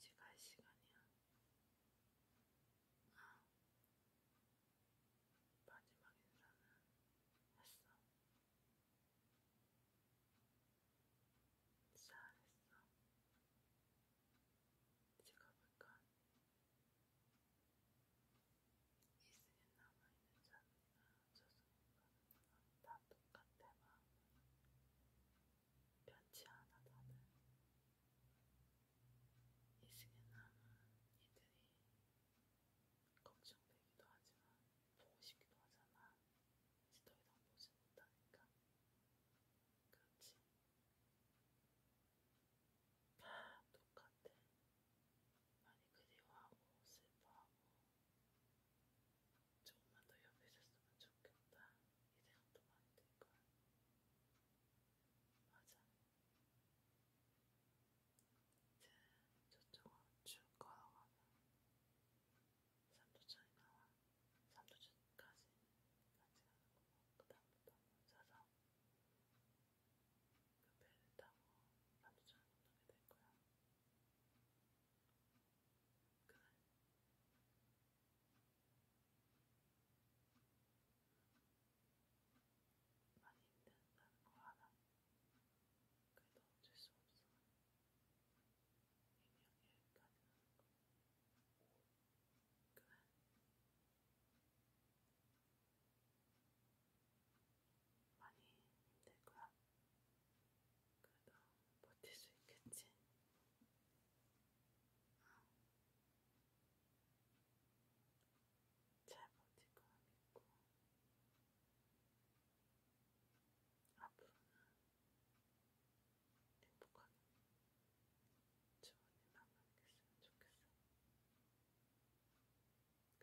이제 갈 시간이야. 아, 마지막 인사는 했어. 잘했어. 이제 가볼까? 이슬에 남아있는 잔이나 저승인과는 다 똑같아 마음은 변치 않아 다들 이슬에 남은 이들이 걱정되기도 하지만 보고 싶기도 하잖아. 이제 더 이상 보지 못하니까. 그렇지. 다 똑같아. 많이 그리워하고 슬퍼하고 조금만 더 옆에 있었으면 좋겠다. 이 생각도 많이 들걸. 맞아. 이제 저쪽으로 쭉 걸어가면 삼도천이 나와. 삼도천 아직까지 가지 않고 그다음부터 혼자서 그 배를 타고 남주전을 건너게 될 거야. 그날 많이 힘든다는 거 알아. 그래도 어쩔 수 없어. 이명이 여기까지 나는 거. 그만. 많이 힘들 거야. 그래도 버틸 수 있겠지. 응. 잘 버틸 거라 믿고. 앞으로는 행복한 주원이만 만났으면 좋겠어. 그럼 조금 보이긴 하지만 저쪽까지만 쭉 가는데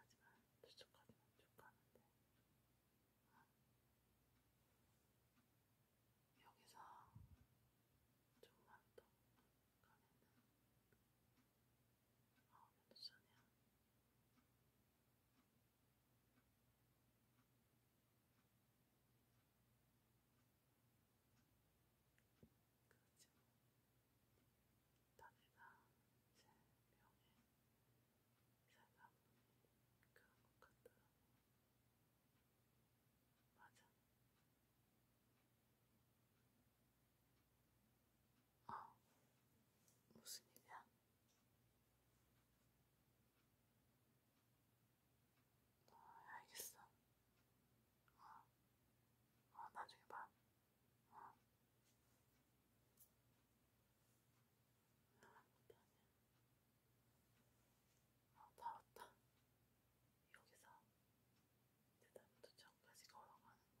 어? 여기서 조금만 더 가면은 아, 몇 시간이야? 그렇지 뭐. 다내가 제 병에 살다 보니 그런 것 같더라고. 맞아. 아, 무슨 일이야? 어, 알겠어. 어, 어 나중에 봐. 어. 아, 다 왔다. 여기서 대단도 전까지 걸어가는 거야.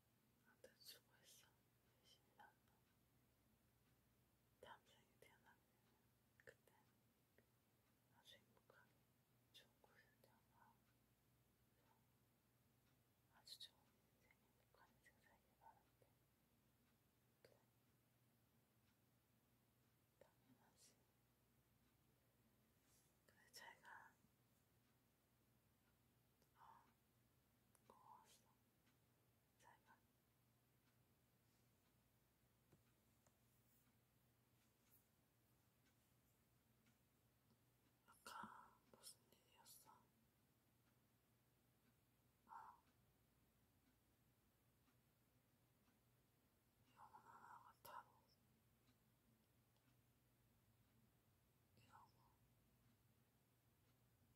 아무튼 수고했어. 열심히 나왔다. 다음 생에 태어나면 그때 아주 행복하게 좋은 곳에 태어나 아주 좋은 인생, 행복한 인생 살길 바란데 또 당연하지. 근데 제가 아, 고마웠어. 잘가. 아까 무슨 일이었어? 아, 영원한 아가타로 이러고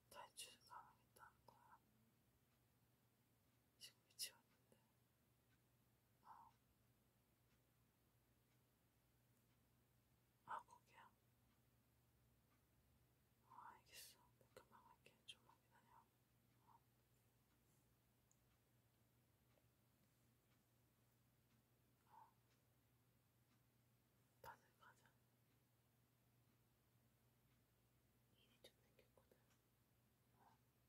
탈출을 감하겠다는 거야. 지금 미치웠는데. 어. 아. 아, 거기야? 어, 알겠어. 내가 금방 갈게. 좀만 기다려. 어. 어. 밭을 가자. 일이 좀 생겼거든. 어, 어 그래. 어.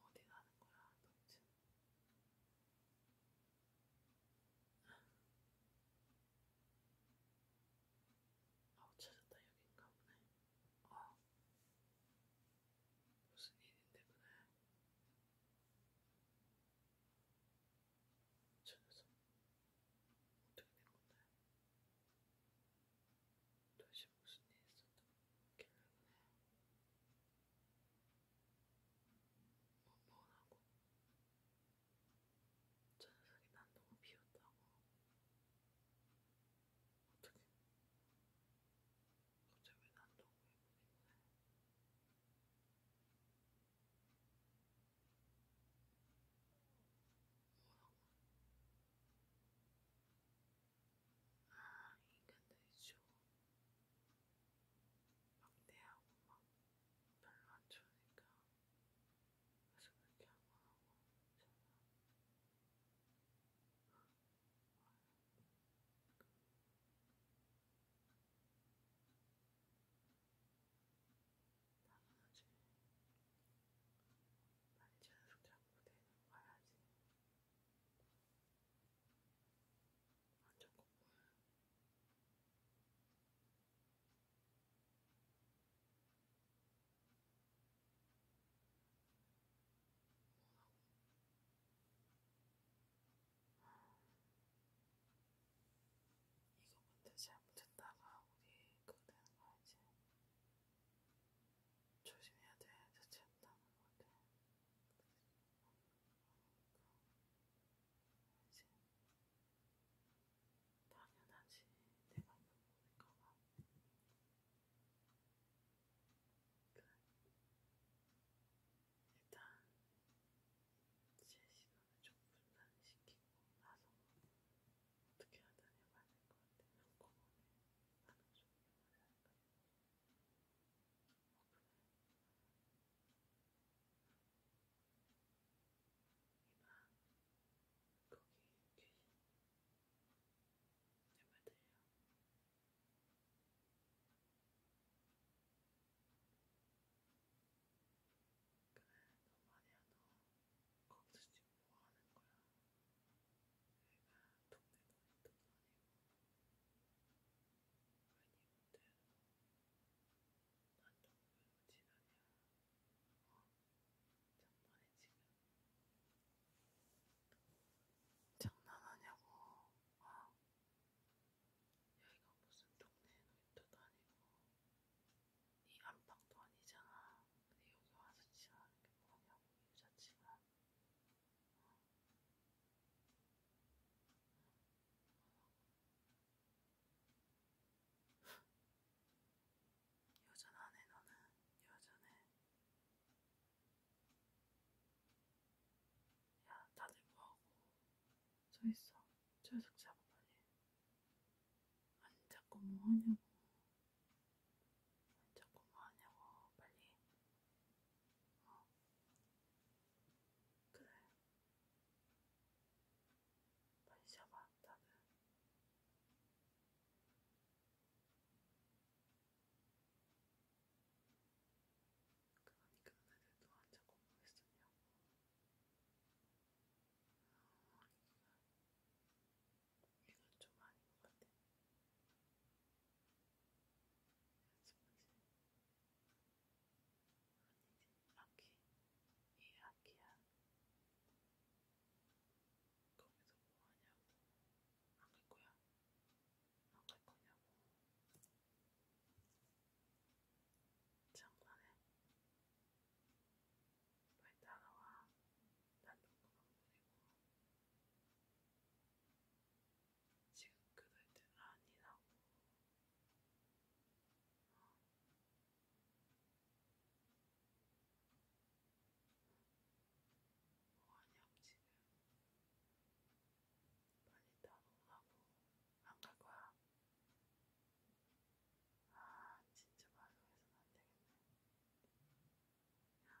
어. 어디 가는 거야, 도대체? 아, 못 찾았다, 여긴가 보네. 어. 무슨 일인데 그래? 저 녀석 어떻게 된 건데? 도대체 무슨 일이 있었던 길래 그래? 뻔뻔하고 저 녀석이 난 너무 비웃다고. 어떻게? 갑자기 왜난 너무 예쁘길래? 뭐라고? 아, 인간들이죠. 막대하고 막 별로 안 좋으니까 가슴을 켜고하고 제가 당연하지 많이 자연스럽게 한국에 와야지 완전 고마워 이거 근데 잘못했다가 우리 그거 되는 거 알지? 조심해야 돼. 자칫한다는 건데. 그러니까. 알지? 당연하지. 내가 물어보니까. 그러니까 그래. 일단 제 시간을 좀 분산시키고 나서 어떻게 하든 해봐야 될 것 같아. 한꺼번에 많은 종류만 할까? 어, 그래. 이만. 거기 귀신 제발 들려 그래 너 말이야 너 거기서 지금 뭐하는 거야 내가 동네 놀이터도 아니고 괜히 못해 난다 보면 지나냐. 어, 장난해 지금. 장난하냐고. 어? 여기가 무슨 동네 놀이터도 아니고 이 안방도 아니잖아. 근데 여기 와서 지나는 게 뭐냐고 이 자체가. 어? 여전하네 너는 여전해 야 다들 뭐하고 서있어 철석 잡아 빨리 아니 자꾸 뭐하냐고 아니 자꾸 뭐하냐고 빨리 어 그래 반샤마한다는 그만이 끝났는데도 한참 공부했었냐고 어, 아니구나 이건 좀 아닌 것 같아 연습하지 아기 이 아기야 거기서 뭐하냐고 안갈 거야 안갈 거냐고 장난해 빨리 따라와 난 녹음한 분이고 지금 그럴 때 아니라고 원형 지금 빨리 다 녹나고 안갈 거야. 아 진짜 말로 해서는 안 되겠네. 야, 너희들.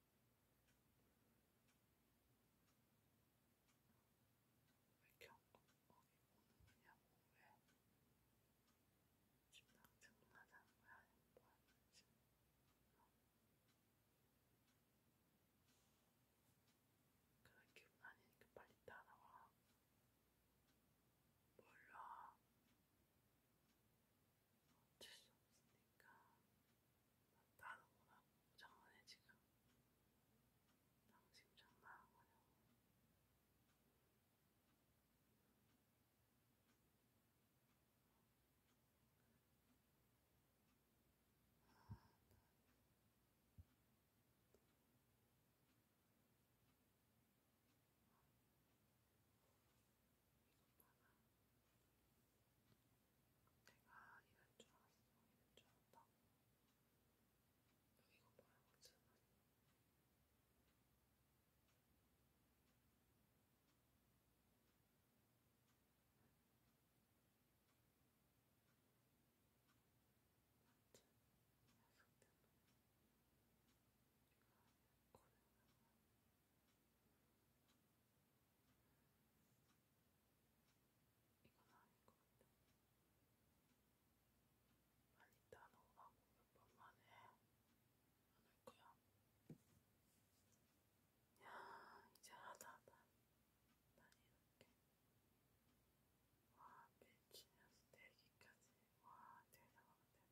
이렇게 엉엉이 오는 거냐고 왜 지금 나 등나자는 거야 아니면 뭐 하는 거지? 그런 기분 아니니까 빨리 따라와 몰라 어쩔 수 없으니까 나도 뭐라고 장난해 지금 당신 장난한 거냐고 이것 봐라. 내가 이럴 줄 알았어. 이럴 줄 알았다. 여기가 뭐야, 맞잖아. 맞지? 약속된 놈. 내가 고생을 하고 이건 아닌 것 같아. 빨리 따놓으라고 몇 번만 해. 안올 거야. 야, 이제 하다 하다. 난 이렇게. 와, 밀키면서 대기까지. 와, 대단하다, 대단해.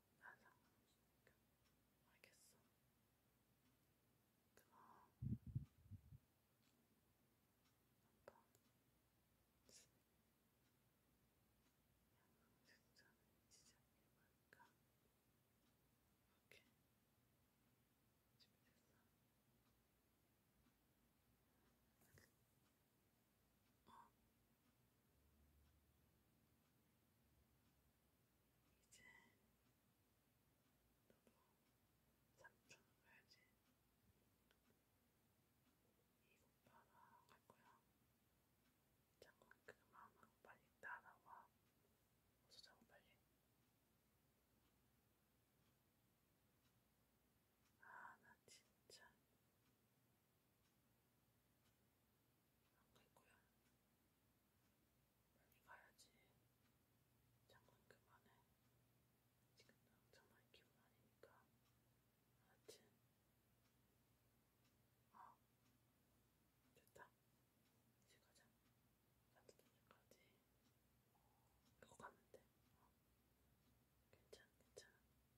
난 상관없으니까. 알겠어. 고마워. 한번 양성색전을 지정해볼까? 오케이. 준비됐어. 어, 이제 너도 삼촌 가야지. 이오빠랑 갈 거야. 잠깐 그만하고 빨리 따라와. 어서 자고 빨리. 아, 나 진짜 안갈거야 빨리 가야지 잠깐 그만해 지금 당장난 기분 아니니까 알았지? 어 됐다 이제 가자 따뜻하게까지 이거 가면 돼 어. 괜찮아 괜찮아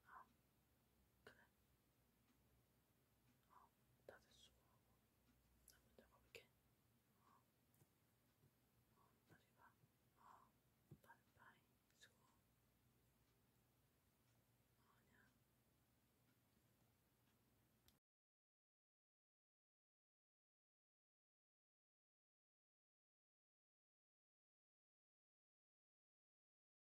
어 그래 어, 다 됐어. 나 먼저 가볼게. 어, 어, 나중에 봐. 어, 바이바이. 수고. 어, 안녕.